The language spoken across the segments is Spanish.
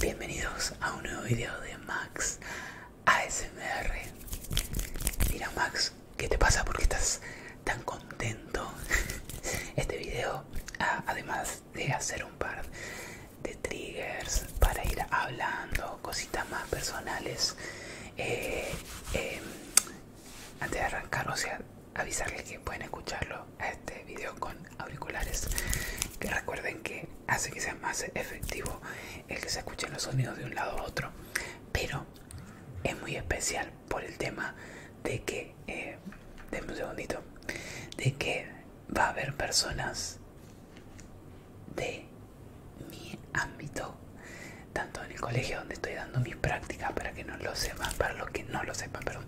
Bienvenidos a un nuevo video de Max ASMR. Mira Max, ¿qué te pasa? ¿Por qué estás tan contento? Este video, ah, además de hacer un par de triggers para ir hablando cositas más personales, eh, eh, antes de arrancar, o sea, avisarles que pueden escucharlo a este video con auriculares que recuerden que hace que sea más efectivo el que se escuchen los sonidos de un lado a otro pero es muy especial por el tema de que eh, denme un segundito de que va a haber personas de mi ámbito tanto en el colegio donde estoy dando mis prácticas para que no lo sepan para los que no lo sepan perdón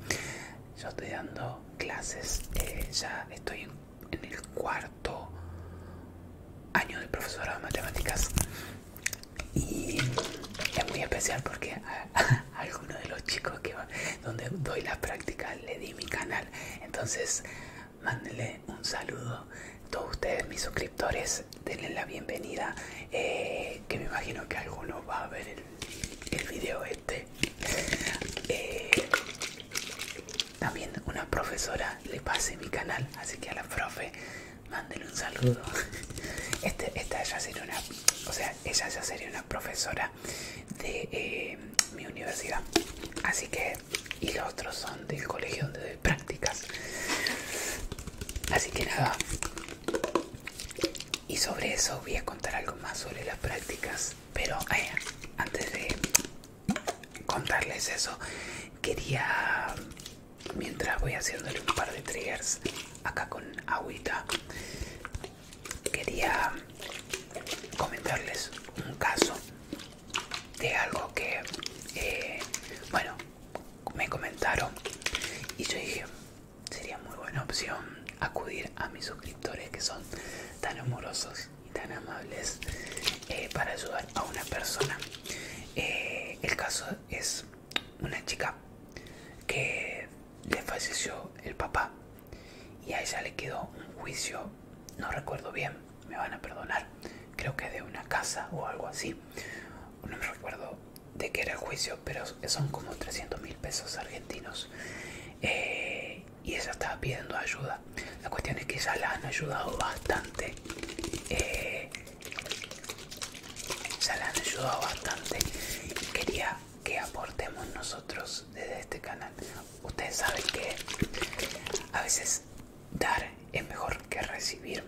yo estoy dando clases, eh, ya estoy en, el cuarto año de profesora de matemáticas y es muy especial porque a, alguno algunos de los chicos que donde doy las prácticas le di mi canal, entonces mándenle un saludo a todos ustedes mis suscriptores denle la bienvenida eh, que me imagino que alguno va a ver el video este eh, también una profesora le pase mi canal así que a la profe Mándenle un saludo este, esta ya sería una o sea ella ya sería una profesora de eh, mi universidad así que y los otros son del colegio donde doy prácticas así que nada y sobre eso voy a contar algo más sobre las prácticas pero eh, antes de contarles eso quería mientras voy haciéndole un par de triggers acá con agüita quería comentarles un caso de algo que eh, bueno me comentaron y yo dije sería muy buena opción acudir a mis suscriptores que son tan amorosos y tan amables eh, para ayudar a una persona. Eh, el caso es una chica que le falleció el papá y a ella le quedó un juicio, no recuerdo bien, me van a perdonar, creo que de una casa o algo así, no me recuerdo de qué era el juicio, pero son como 300 mil pesos argentinos eh, y ella estaba pidiendo ayuda. La cuestión es que ya la han ayudado bastante. Eh, ya la han ayudado bastante. Quería que aportemos nosotros desde este canal. Ustedes saben que a veces dar es mejor que recibir.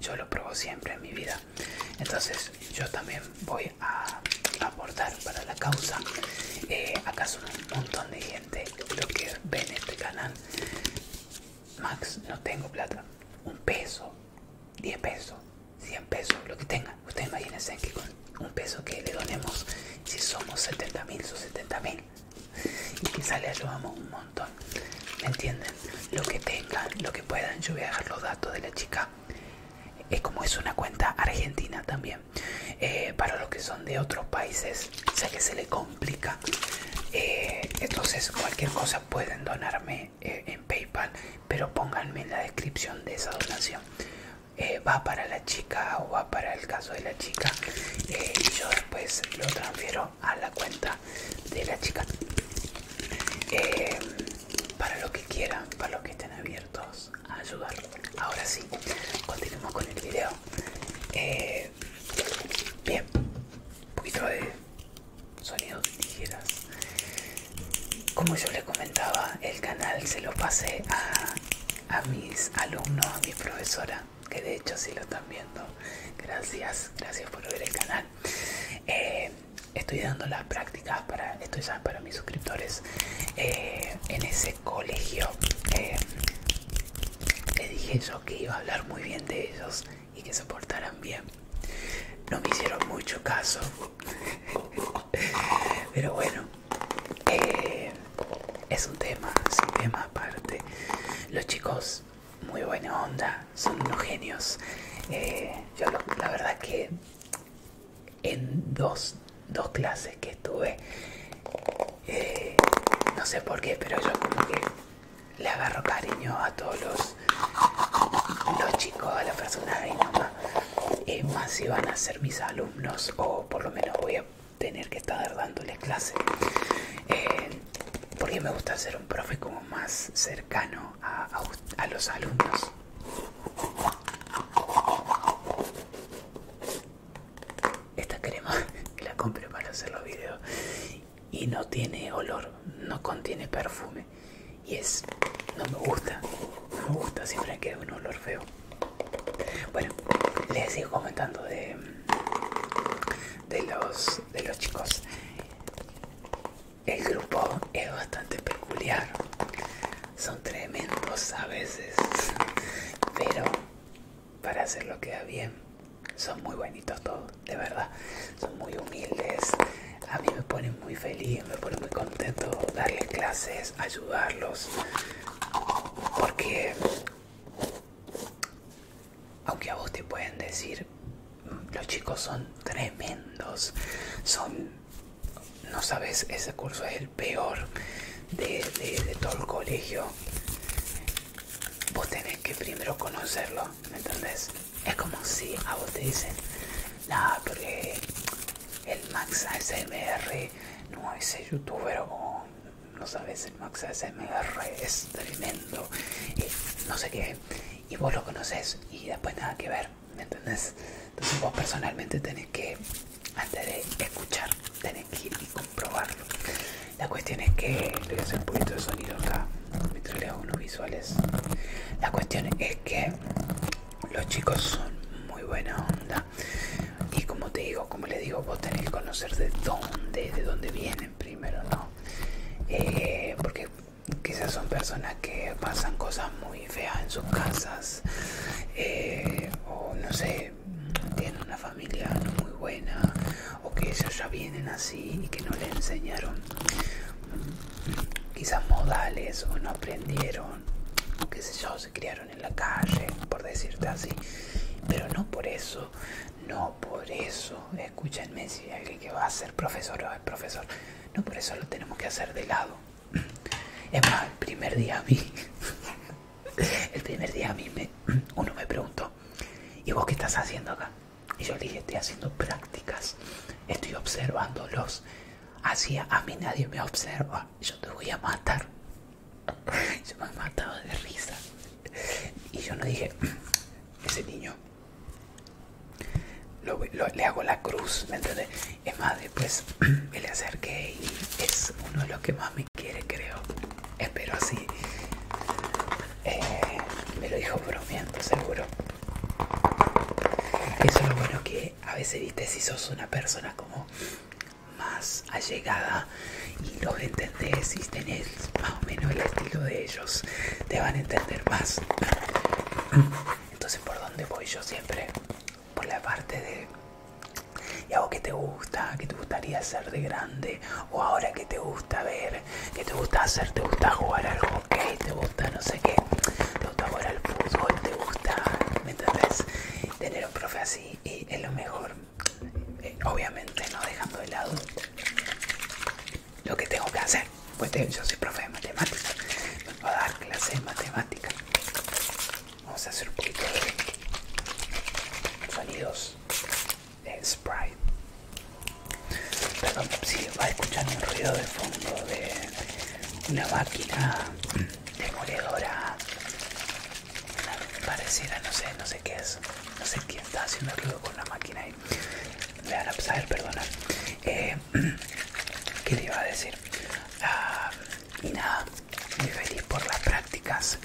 Yo lo pruebo siempre en mi vida. Entonces yo también voy a aportar para la causa. acaso eh, acá un montón de gente lo que ven este canal. Max, no tengo plata. Un peso, 10 pesos, 100 pesos, lo que tengan. Ustedes imagínense que con un peso que le donemos, si somos mil son mil Y quizá le ayudamos un montón. ¿Me entienden? Lo que tengan, lo que puedan. Yo voy a dejar los datos de la chica es como es una cuenta argentina también eh, para los que son de otros países o sea que se le complica eh, entonces cualquier cosa pueden donarme eh, en paypal pero pónganme en la descripción de esa donación va para la chica o va para el caso de la chica y yo después lo transfiero a la cuenta de la chica para lo que quieran para los que estén abiertos a ayudar. Ahora sí, continuemos con el video. Eh, bien, un poquito de sonidos tijeras. Como yo les comentaba, el canal se lo pasé a, mis alumnos, a mi profesora, que de hecho sí lo están viendo. Gracias, gracias por ver el canal. Eh, estoy dando las prácticas para esto ya para mis suscriptores eh, en ese colegio eh, le dije yo que iba a hablar muy bien de ellos y que se portaran bien no me hicieron mucho caso pero bueno eh, es un tema Sin tema aparte los chicos muy buena onda son unos genios yo la verdad que en dos, clases que estuve. Eh, no sé por qué, pero yo como que le agarro cariño a todos los, los chicos, a las personas mi mamá es más si van a ser mis alumnos o por lo menos voy a tener que estar dándoles clases eh, porque me gusta ser un profe como más cercano a los alumnos. Esta crema la compré para hacer los vídeos y no tiene olor, no contiene perfume y es, no me gusta, no me gusta, siempre queda un olor feo. Bueno, les sigo comentando de, de, los, de los chicos. El grupo es bastante peculiar son tremendos a veces, pero para hacer lo queda bien, son muy bonitos todos, de verdad, son muy humildes, a mí me ponen muy feliz, me ponen muy contento darles clases, ayudarlos, porque aunque a vos te pueden decir, mm, los chicos son tremendos, son no sabes, ese curso es el peor de, todo el colegio. Vos tenés que primero conocerlo, ¿me entendés? Es como si a vos te dicen, Nada, porque el Max ASMR no ese youtuber o no sabes, el Max ASMR es tremendo, y no sé qué, y vos lo conoces y después nada que ver. Entonces vos personalmente tenés que, antes de escuchar, tenés que ir y comprobarlo. La cuestión es que, voy a hacer un poquito de sonido acá, mientras los unos visuales. La cuestión es que los chicos son muy buena onda. Y como te digo, como le digo, vos tenés que conocer de dónde, de dónde vienen primero, eh, porque quizás son personas que pasan cosas muy feas en sus casas eh, o no sé tienen una familia muy buena o que ellos ya vienen así y que no le enseñaron quizás modales o no aprendieron o qué sé yo se criaron en la calle por decirte así pero no por eso no por eso escúchenme si alguien que va a ser profesor o es profesor no por eso lo tenemos que hacer de lado es más, el primer día a mí, el primer día a mí me, uno me preguntó, ¿y vos qué estás haciendo acá? Y yo le dije, estoy haciendo prácticas, estoy observándolos. Así a mí nadie me observa, yo te voy a matar. Yo me matado de risa. Y yo no dije, mm, ese niño, le hago la cruz, ¿me entendés? Es más, después me le acerqué y es uno de los que más me quiere, creo. Espero así. Eh, me lo dijo bromeando, seguro. Eso es lo bueno que a veces, viste, si sos una persona como más allegada y los entendés y tenés más o menos el estilo de ellos, te van a entender más. Entonces, ¿por dónde voy yo siempre? por la parte de algo que te gusta, que te gustaría hacer de grande, o ahora que te gusta ver, que te gusta hacer, te gusta jugar al hockey, te gusta no sé qué, te gusta jugar al fútbol, te gusta, ¿me Tener un profe así y es lo mejor, eh, obviamente no dejando de lado lo que tengo que hacer, pues yo soy profe de matemática, voy a dar clases de matemáticas, Vamos a hacer un poquito de sonidos de Sprite. Perdón si va a escuchar un ruido de fondo de una máquina demoledora. Pareciera, no sé, no sé qué es. No sé quién está haciendo ruido con la máquina ahí. Me van a perdona. Eh, ¿Qué le iba a decir? Ah, y nada, muy feliz por las prácticas.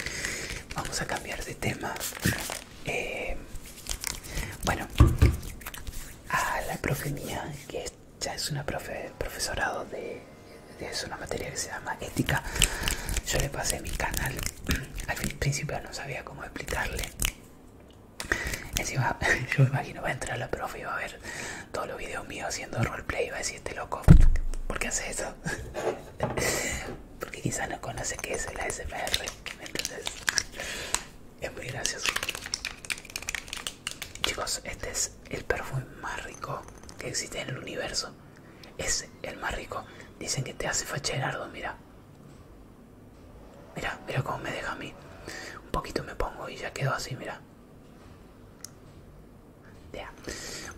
Vamos a cambiar de tema. Eh, bueno, a la profe mía, que ya es una profe, profesorado de, es una materia que se llama ética, yo le pasé mi canal. Al principio no sabía cómo explicarle. Encima, yo me imagino va a entrar la profe y va a ver todos los videos míos haciendo roleplay y va a decir este loco, ¿por qué hace eso? Porque quizás no conoce que es el ASMR, entonces es muy gracioso. Chicos, este es el perfume más rico que existe en el universo. Es el más rico. Dicen que te hace nardo mira. Mira, mira cómo me deja a mí. Un poquito me pongo y ya quedo así, mira ya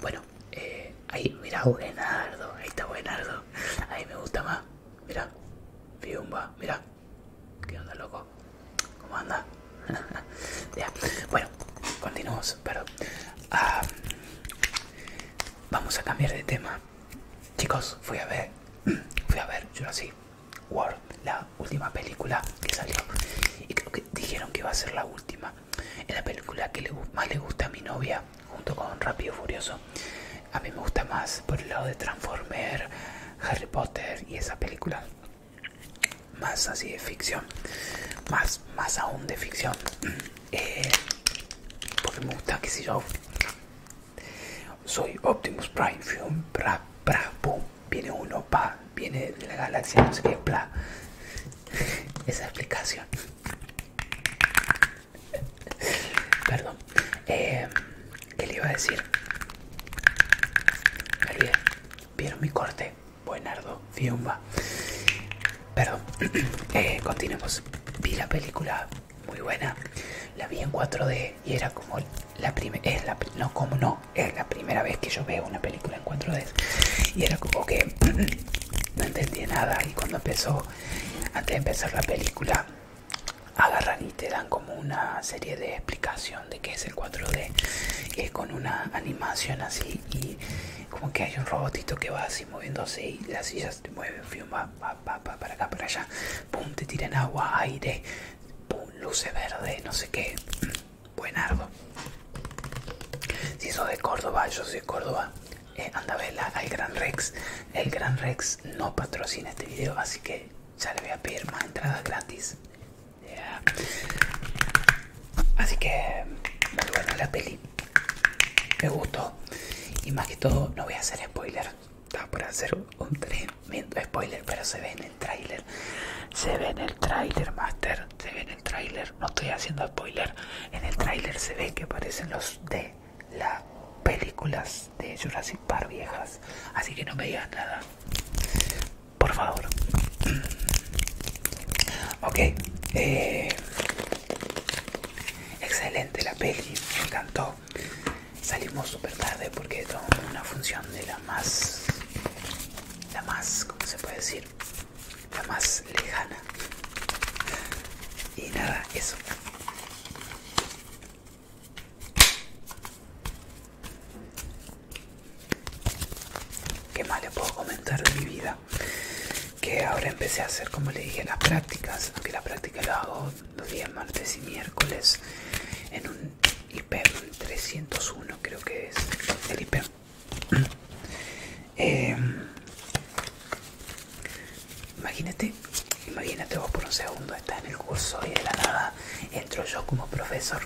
Bueno, eh, ahí, mira, ahí está Buenardo. Ahí me gusta más. Mira, Fiumba, mira. ¿Qué onda, loco? ¿Cómo anda? Ya, Bueno, continuamos, pero ah, vamos a cambiar de tema. Chicos, fui a ver, fui a ver yo así World, la última película que salió. Y creo que dijeron que iba a ser la última. en la película que más le gusta a mi novia, junto con Rápido Furioso. A mí me gusta más por el lado de Transformer, Harry Potter y esa película. Más así de ficción. Más, más aún de ficción. Eh, porque me gusta, que si yo soy Optimus Prime, Film, pra, boom, viene uno, pa, viene de la galaxia, no sé qué, bla. Esa explicación. Perdón. Eh, ¿Qué le iba a decir? Me ¿Vieron mi corte? Buenardo, fiumba. Perdón. Eh, continuemos. Vi la película muy buena. La vi en 4D y era como la primera... no, como no es la primera vez que yo veo una película en 4D. Y era como que no entendía nada. Y cuando empezó, antes de empezar la película, agarran y te dan como una serie de explicación de qué es el 4D. que es con una animación así. Y como que hay un robotito que va así moviéndose y las sillas te mueven, va, para acá, para allá. Pum, te tiran agua, aire, pum, luce verde no sé qué árbol Si sos de Córdoba, yo soy de Córdoba, eh, anda a verla al Gran Rex. El Gran Rex no patrocina este video, así que ya le voy a pedir más entradas gratis. Así que me la peli. Me gustó. Y más que todo, no voy a hacer spoiler. Estaba por hacer un tremendo spoiler, pero se ve en el tráiler. Se ve en el tráiler, Master se ve en el tráiler no estoy haciendo spoiler en el tráiler se ve que aparecen los de las películas de Jurassic Park viejas así que no me digan nada por favor ok eh, excelente la peli me encantó salimos súper tarde porque tomamos una función de la más la más ¿cómo se puede decir la más lejana. Y nada, eso. ¿Qué más le puedo comentar de mi vida? Que ahora empecé a hacer, como le dije, las prácticas. Aunque la práctica lo hago los días martes y miércoles en un hiper 301, creo que es el hiper Eh, imagínate, imagínate vos por un segundo estás en el curso y de la nada entro yo como profesor.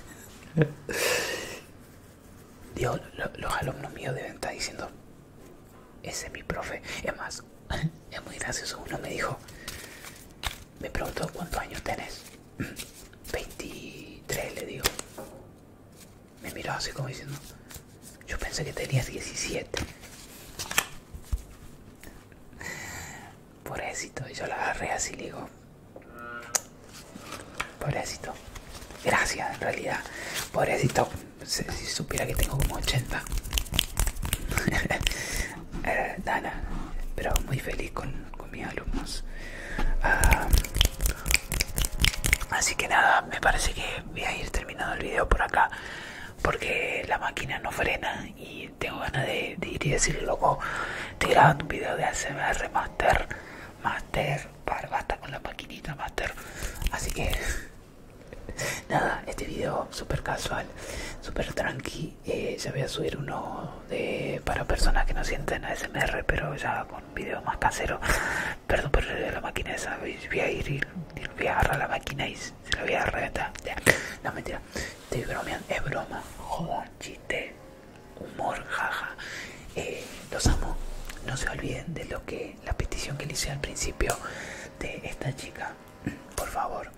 Dios, los alumnos míos deben estar diciendo, ese es mi profe. Es más, es muy gracioso, uno me dijo, me preguntó cuántos años tenés. 23 le digo. Me miró así como diciendo, yo pensé que tenías 17. éxito y yo la agarré así le digo, éxito, gracias en realidad, por éxito. si supiera que tengo como 80. Eh, pero muy feliz con, alumnos. Ah, así que nada, me parece que voy a ir terminando el video por acá porque la máquina no frena y tengo ganas de, ir y decir loco, estoy grabando un video de hacer Master, Master, para, basta con la maquinita Master. Así que nada, este video super casual, super tranqui, eh, ya voy a subir uno para personas que no sienten a ASMR, pero ya con video más casero. Perdón, por la máquina voy a ir y, voy a agarrar la máquina y se la voy a agarrar No, mentira, te bromeando, es broma, jodón, chiste, humor, jaja. Eh, los amo, no se olviden de lo que la petición que le hice al principio de esta chica. Por favor,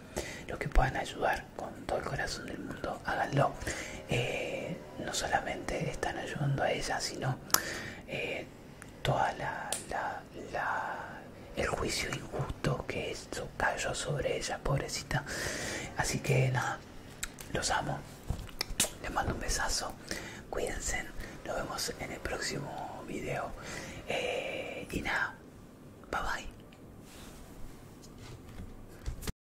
lo que puedan ayudar con todo el corazón del mundo, háganlo. Eh, no solamente están ayudando a ella, sino eh, toda la, la, el juicio injusto que eso cayó sobre ella, pobrecita. Así que nada, los amo. Les mando un besazo. Cuídense. Nos vemos en el próximo video. Eh, y nada, bye bye.